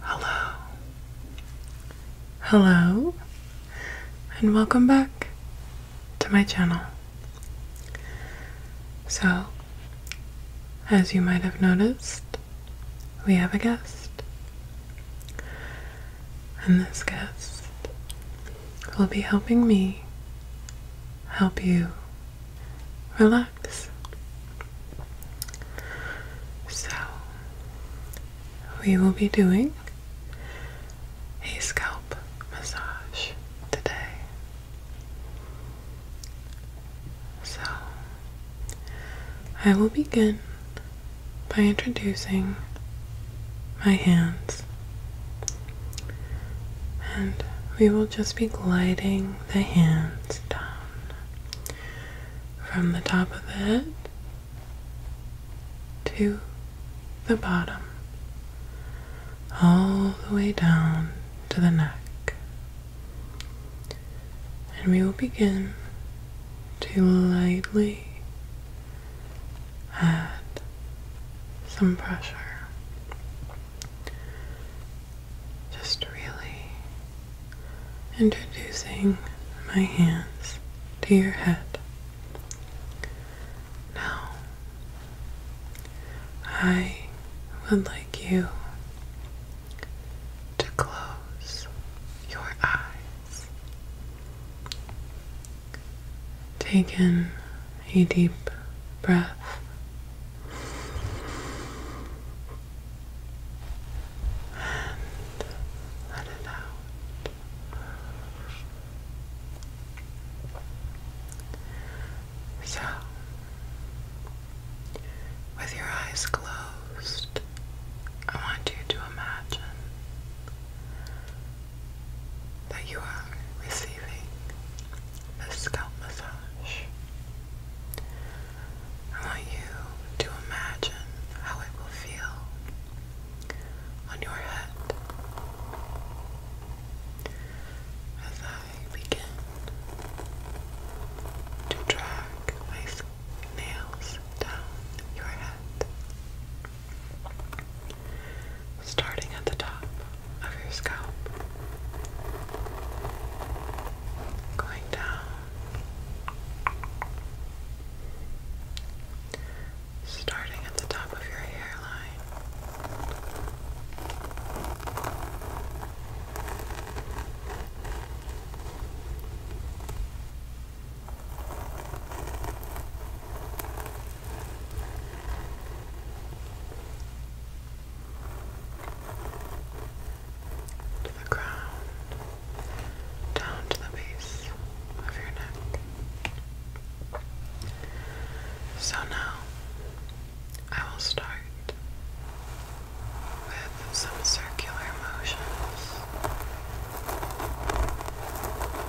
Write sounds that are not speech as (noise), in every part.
Hello. Hello, and welcome back to my channel. So, as you might have noticed, we have a guest. And this guest will be helping me help you relax. So, we will be doing a scalp massage today. So, I will begin by introducing my hands and we will just be gliding the hands down from the top of the head to the bottom, all the way down to the neck. And we will begin to lightly add some pressure. Just really introducing my hands to your head. Now, I would like you to close your eyes. Take in a deep breath. And let it out. So, with your eyes closed, I want you to imagine that you are receiving receiving scalp massage. I want you to imagine how it will feel on your head as I begin to drag my nails down your head, starting at the top of your scalp, going down, starting at the top of your hairline to the ground, down to the base of your neck. So now I will start with some circular motions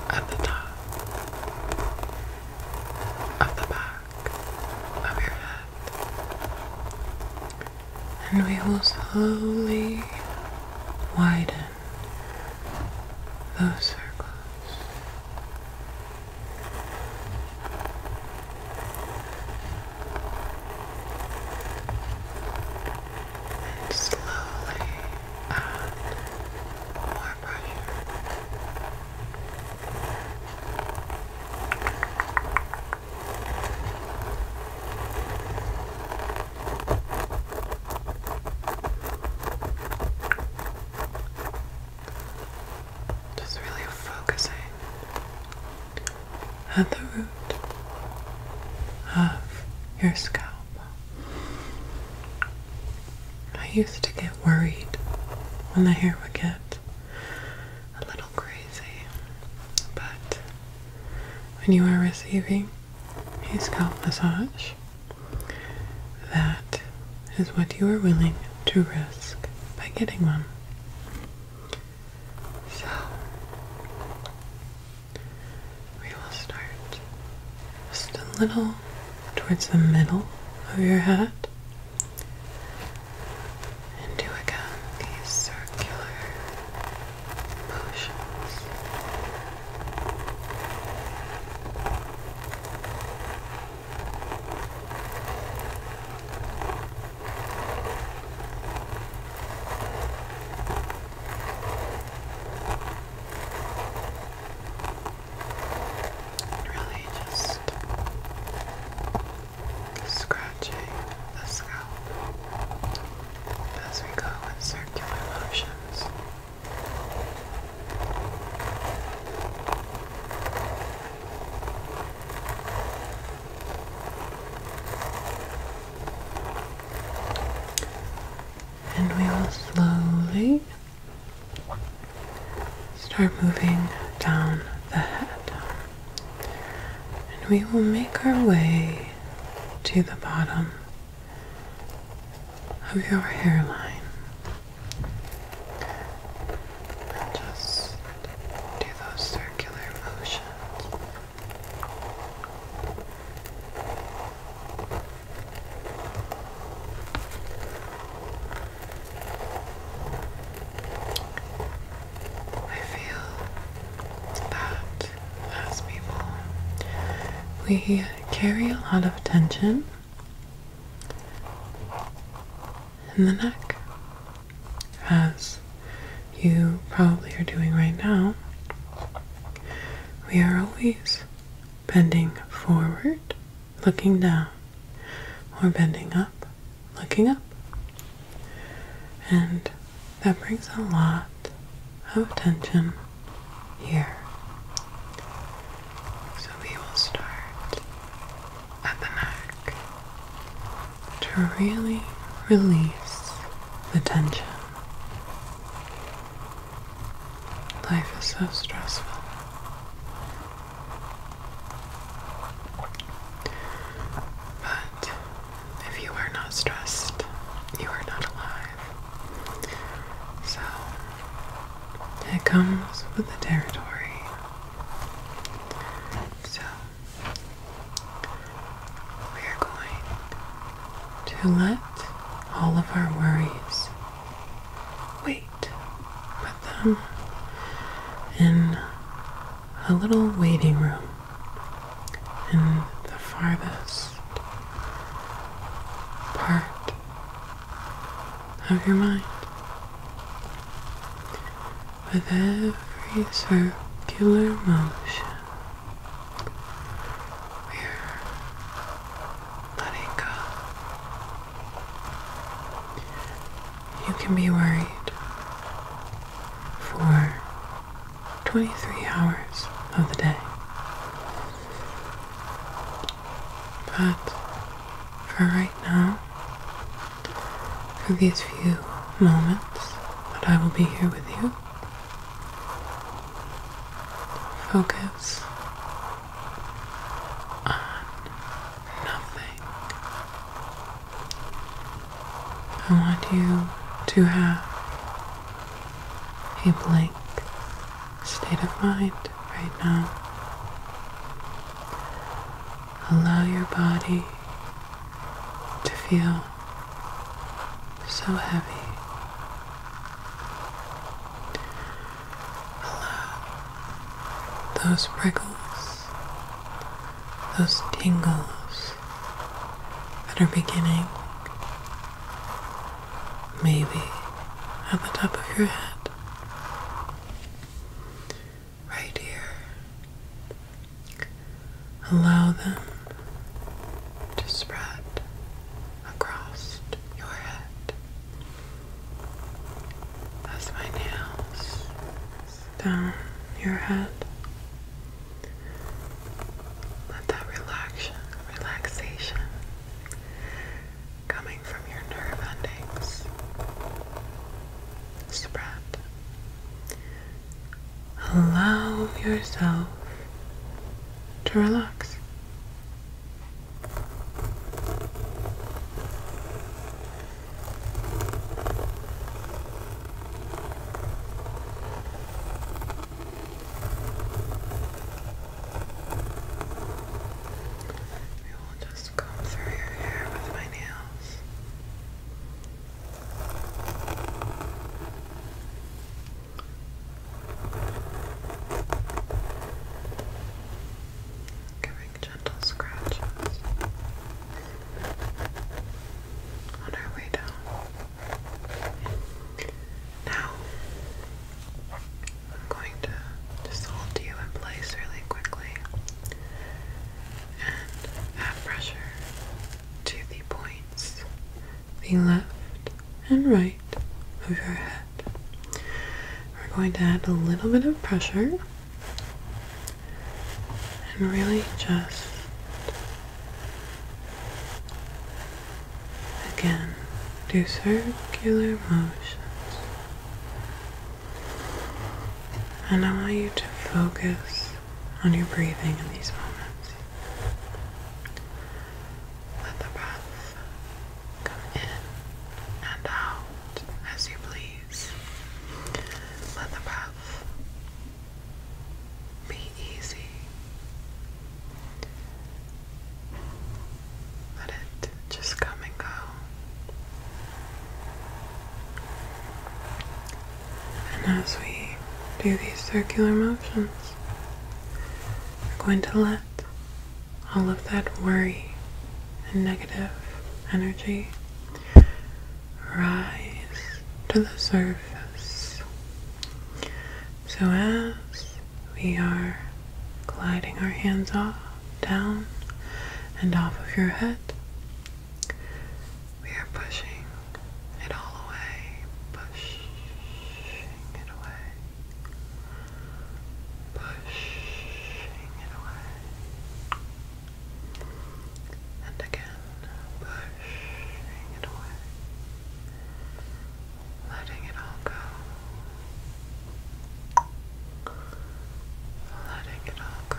at the top, at the back of your head. And we will slowly widen those circles. And slowly add more pressure. Just really focusing at the root of your scalp. I used to get worried when the hair would get a little crazy, but when you are receiving a scalp massage, that is what you are willing to risk by getting one. So, we will start just a little towards the middle of your head and do again these circular motions. Now really just scratching the scalp as we go in circular motions. And we will slowly start moving down the head. And we will make our way to the bottom of your hairline. And just do those circular motions. I feel that as people, we carry a lot of tension in the neck, as you probably are doing right now. We are always bending forward, looking down, or bending up, looking up. And that brings a lot of tension here. So we will start at the neck to really release the tension. Life is so stressful. But if you are not stressed, you are not alive. So it comes with the territory. So we are going to let all of our worries wait put them in a little waiting room in the farthest part of your mind. With every circular motion, we're letting you can be worried for 23 hours of the day. But for right now, for these few moments that I will be here with you, focus on nothing. I want you to have a blank state of mind right now. Allow your body to feel so heavy. Allow those prickles, those tingles that are beginning maybe at the top of your head, right here. Allow them to spread across your head as my nails down your head. Let that relaxation, relaxation coming from your nerve endings spread. Allow yourself to relax. I will just comb through your hair with my nails. Good giving gentle scratches on our way down. Now, I'm going to just hold you in place really quickly and add pressure to the points, the left and right of your head. We're going to add a little bit of pressure and really just again do circular motions. And I want you to focus on your breathing in these moments. Let the breath come in and out as you please please. Mother Puff, be easy. Let it just come and go. And as we do these circular motions, we're going to let all of that worry and negative energy rise to the surface. So, as we are gliding our hands off, down, and off of your head, we are pushing it all away, pushing it away, pushing it away and again pushing it away, letting it all go, letting it all go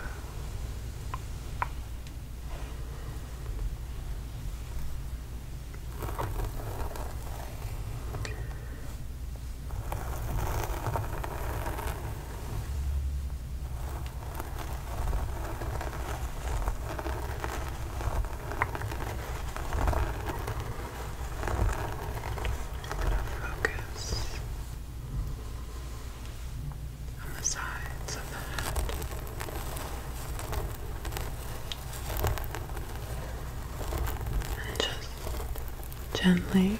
focus on the sides of the head. And just gently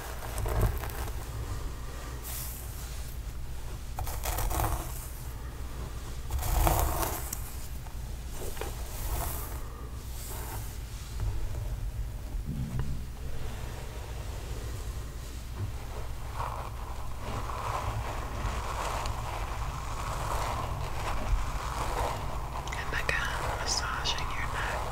And again, massaging your neck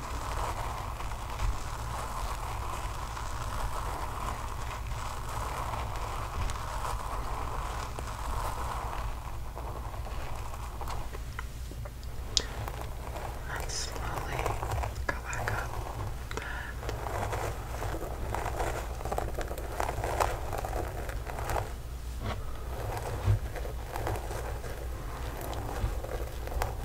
Let's slowly go back up and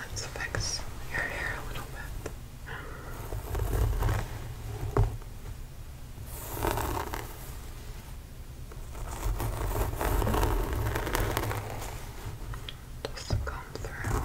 Let's fix your hair a little bit. Doesn't come through. Okay.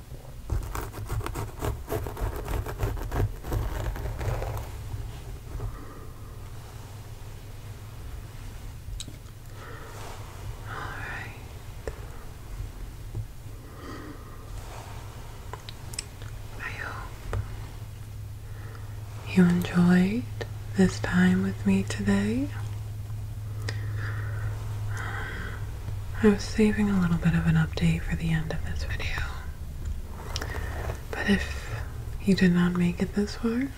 All right. I hope you enjoyed this time with me today. Um, I was saving a little bit of an update for the end of this video. But if you did not make it this far,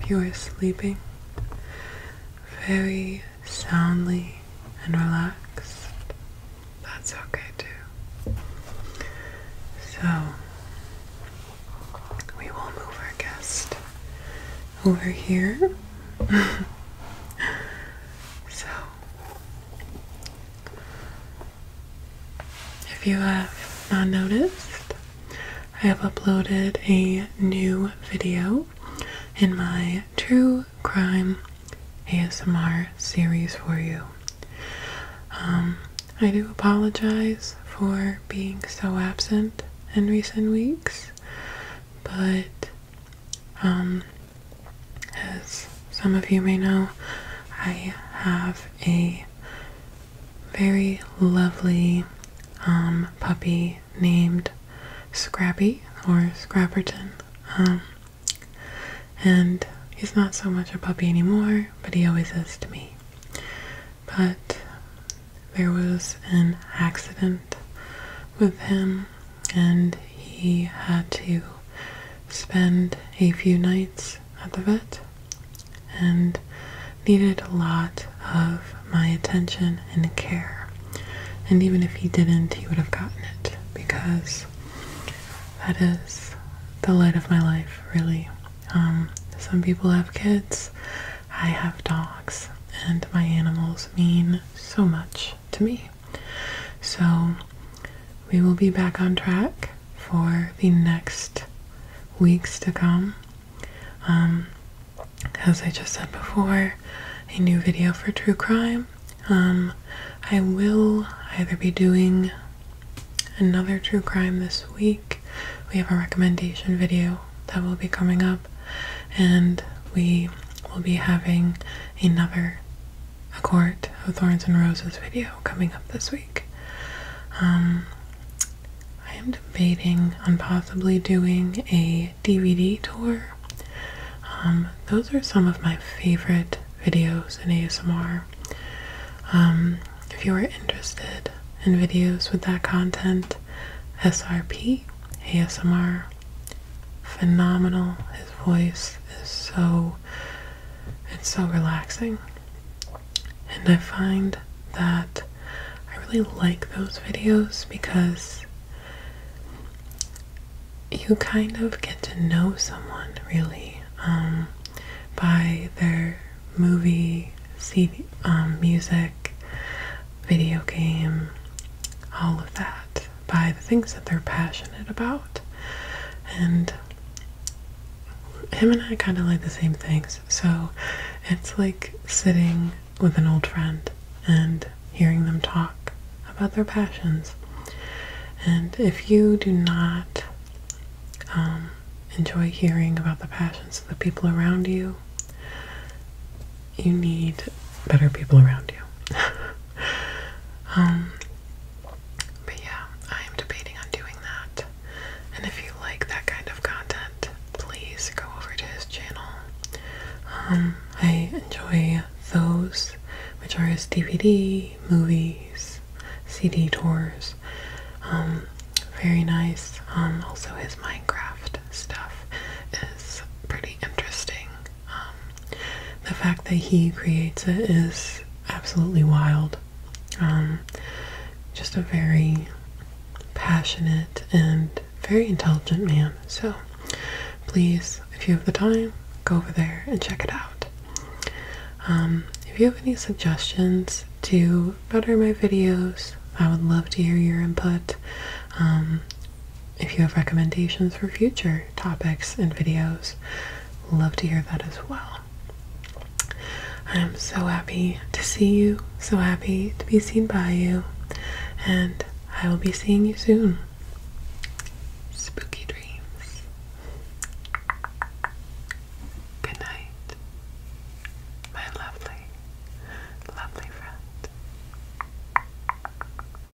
if you are sleeping very soundly and relaxed, that's okay too. So, we will move our guest over here. (laughs) so, if you have not noticed, I have uploaded a new video in my true crime ASMR series for you. Um, I do apologize for being so absent in recent weeks, but um, as some of you may know, I have a very lovely um, puppy named Scrappy or Scrapperton. Um, and he's not so much a puppy anymore, but he always is to me. But there was an accident with him and he had to spend a few nights at the vet and needed a lot of my attention and care. And even if he didn't, he would have gotten it because that is the light of my life, really. Um, some people have kids, I have dogs, and my animals mean so much to me. So we will be back on track for the next weeks to come. Um, as I just said before, a new video for true crime. Um, I will either be doing another true crime this week. We have a recommendation video that will be coming up, and we will be having another a Court of Thorns and Roses video coming up this week. Um, I am debating on possibly doing a DVD tour. Um, those are some of my favorite videos in ASMR. Um, if you are interested in videos with that content, SRP, ASMR, phenomenal. His voice is so it's so relaxing. And I find that I really like those videos because you kind of get to know someone really um, by their movie, CD, um, music, video game, all of that by the things that they're passionate about. And him and I kind of like the same things. So it's like sitting with an old friend and hearing them talk about their passions. And if you do not um, enjoy hearing about the passions of the people around you, you need better people around you. (laughs) Um, but yeah, I am debating on doing that. And if you like that kind of content, please go over to his channel. Um, I enjoy those, which are his DVD, movies, CD tours. Um, very nice. also his Minecraft stuff is pretty interesting. Um, the fact that he creates it is absolutely wild. Um, just a very passionate and very intelligent man. So please, if you have the time, go over there and check it out. Um, if you have any suggestions to better my videos, I would love to hear your input. If you have recommendations for future topics and videos, love to hear that as well. I'm so happy to see you, so happy to be seen by you, and I will be seeing you soon. Spooky dreams. Good night, my lovely, lovely friend.